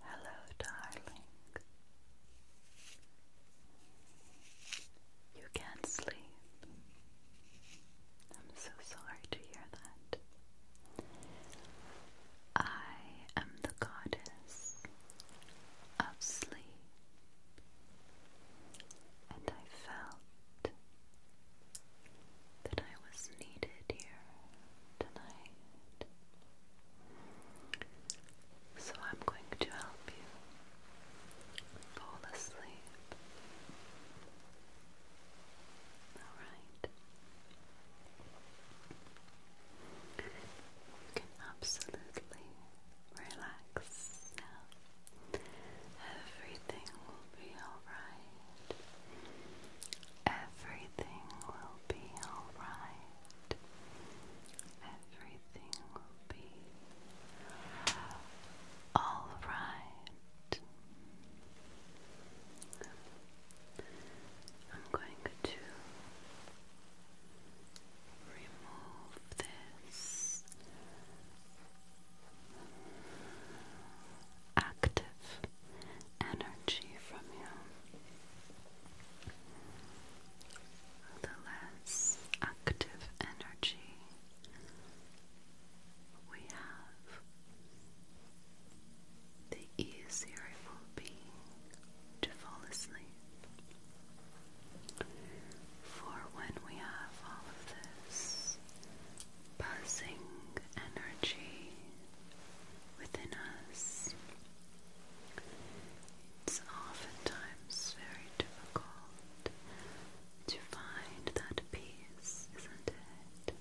Hello, darling. You can't sleep. I'm so sorry to hear that. I am the goddess of sleep, and I felt that I was needed here tonight. So I'm going to help you fall asleep. All right. You can absolutely relax now. Everything will be all right. Everything will be alright. Everything will be alright. I'm going to remove this active energy from you, the less active energy we have, the easier it will be to fall asleep. For when we have all of this buzzing energy within us. It's oftentimes very difficult to find that peace, isn't it?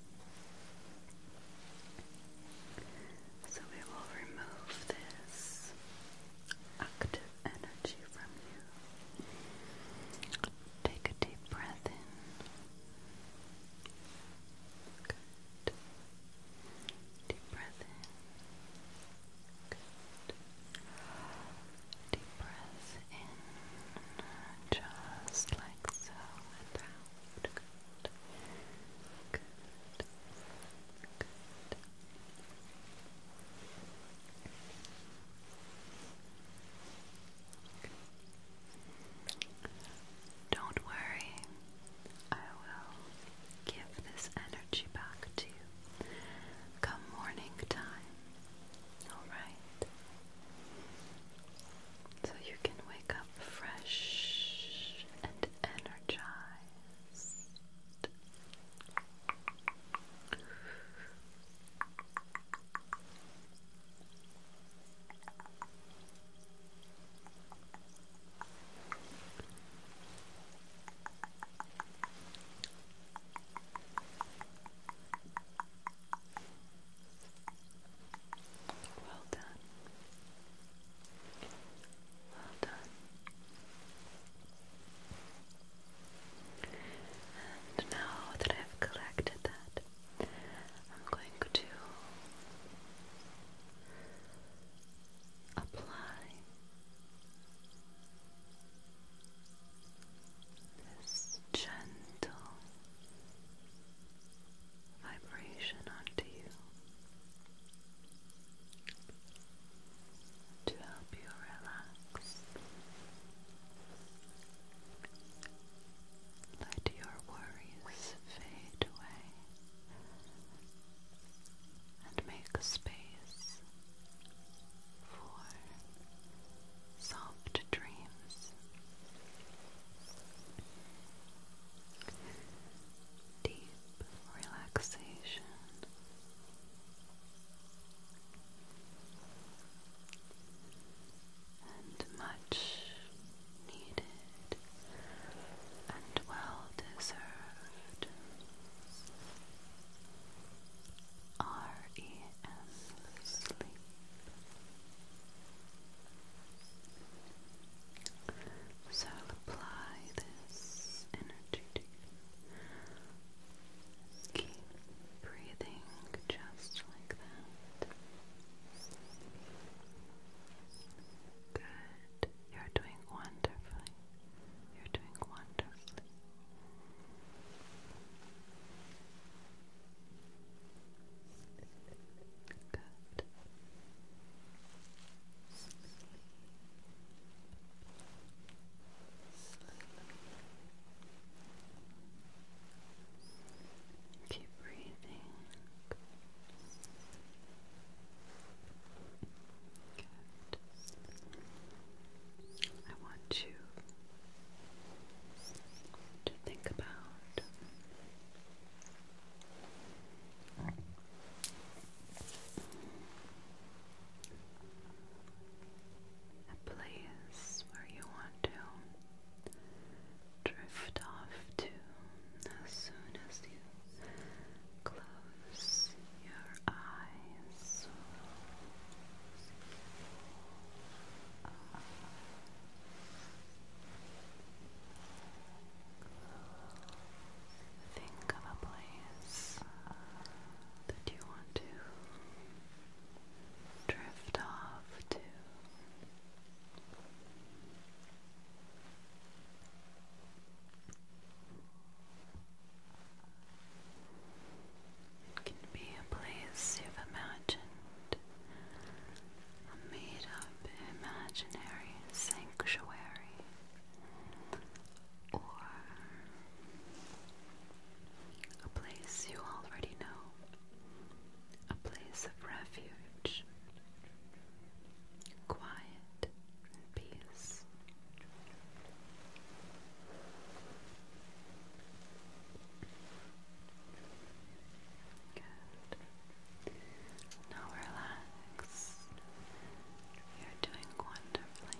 So we will remove this active energy from you. Take a deep breath in Good. Deep breath in. Good. Deep breath in, just like so, and out. Good. Good. Good. Don't worry, I will give this energy back to you come morning time, alright? So you can wake up fresh and energized. Well done. Well done. And now that I've collected that, I'm going to apply this gentle vibration onto you to help you relax. Let your worries fade away and make space for soft dreams. Deep relaxation and much needed and well deserved REM sleep. So apply this energy you Keep breathing just like that. Good. You're doing wonderfully. You're doing wonderfully. Good. Sleep. Sleep. Keep breathing. I want you to think about a place where you want to drift off to as soon as you close your eyes. Think of a place that you want to drift off to. It can be a place you've imagined, a made up imaginary sanctuary, or a place you already know, a place of refuge, quiet peace. Good. Now relax. You're doing wonderfully.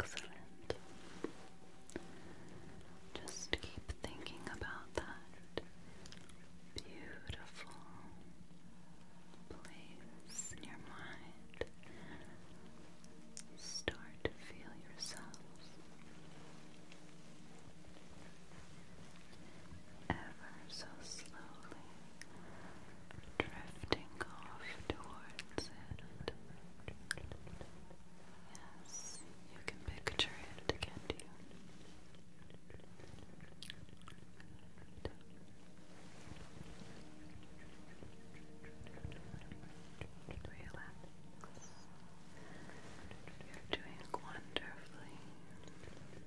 Excellent. Just keep thinking about that beautiful place in your mind. Start to feel yourselves ever so slowly drifting off towards it. Yes, you can picture it, can't you? Relax. You're doing wonderfully. Good.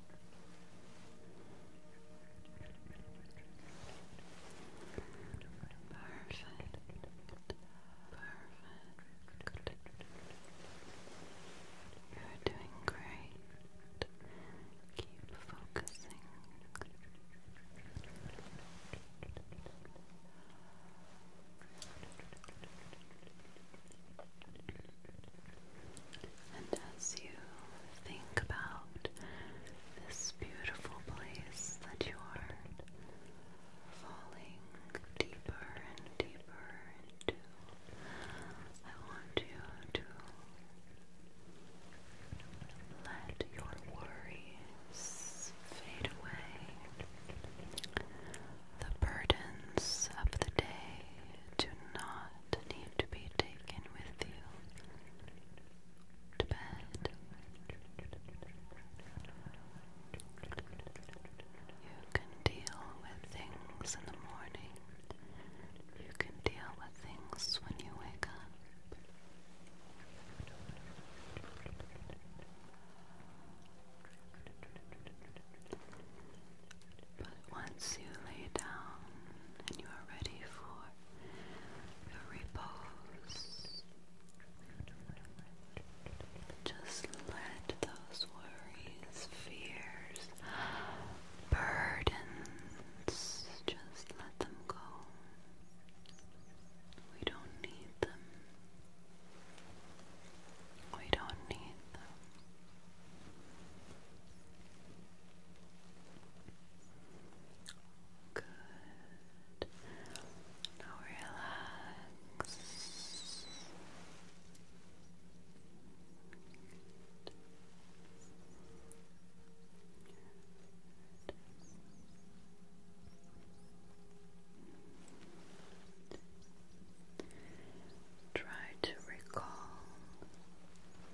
Perfect. Perfect. You're doing great. Keep focusing. And as you think about this beautiful place that you are falling deeper and deeper into, I want you to let your worries fade away. The burdens of the day do not not need to be taken with you to bed. You can deal with things in the morning. You can deal with things when you wake up. But once you lay down and you are ready for your repose, just let those worries, fears, burdens, just let them go. We don't need them. We don't need them. Good. Now relax. Try to recall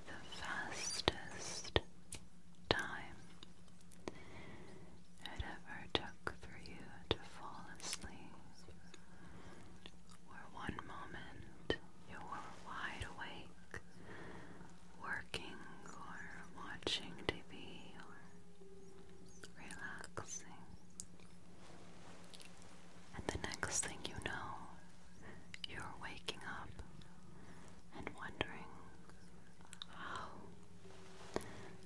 the fastest time it ever took for you to fall asleep, where one moment you were wide awake, working or watching TV or relaxing. And the next thing you know, you're waking up and wondering how,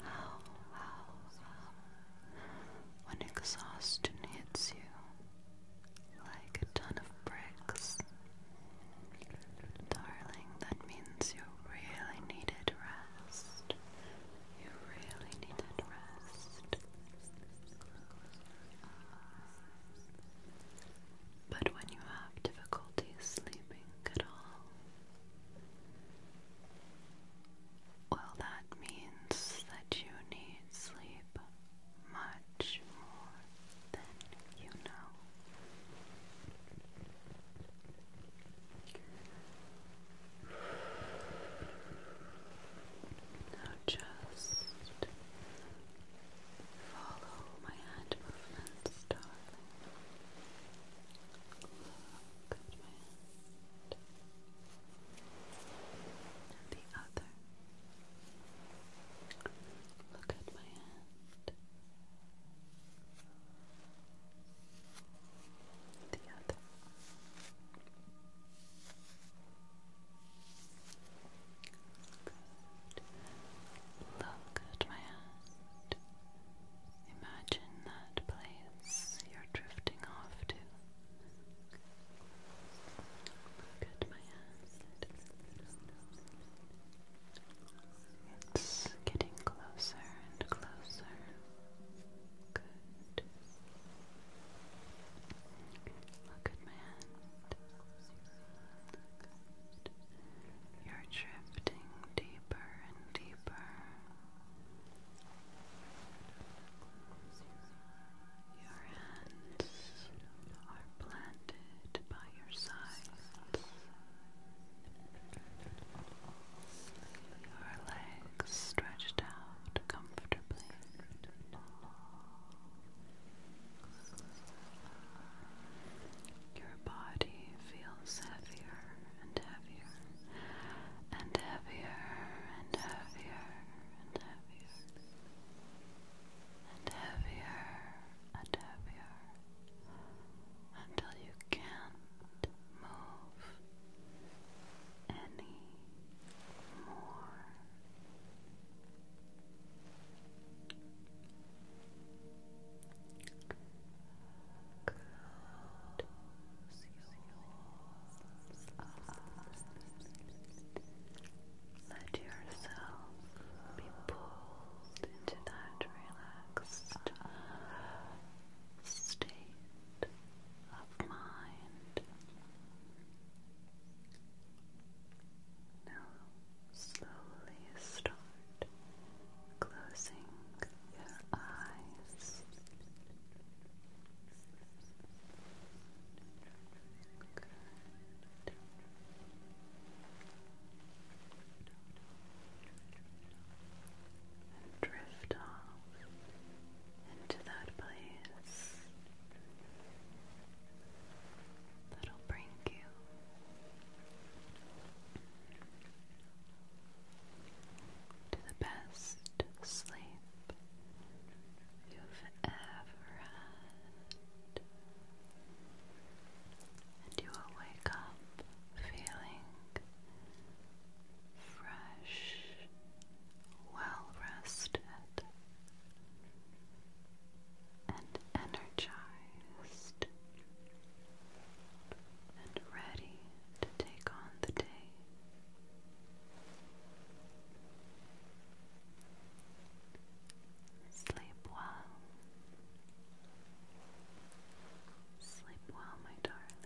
how, how, how, when exhaustion hits you like a ton of bricks. Darling, that means you really needed rest. You really need that rest. But when you have difficulty sleeping at all, well, that means that you need sleep much more than you know. Now just follow my hand movements, darling. Look at my hand. And the other. Look at my hand the Look at my hand. Imagine that place you're drifting off to. Look at my hand. It's getting closer and closer. Look at my You're drifting deeper and deeper. Your hands are planted by your sides. Her legs stretched out comfortably. Your body feels heavier and heavier and heavier and heavier and heavier and heavier until you can't move any more. Close your Let yourself be pulled into that relaxed state of mind. Now slowly start closing your eyes and drift off into that place that'll bring you to the best sleep you've ever had. And you will wake up feeling fresh, well rested, and energized, and ready to take on the day. Sleep well. Sleep well, my darling.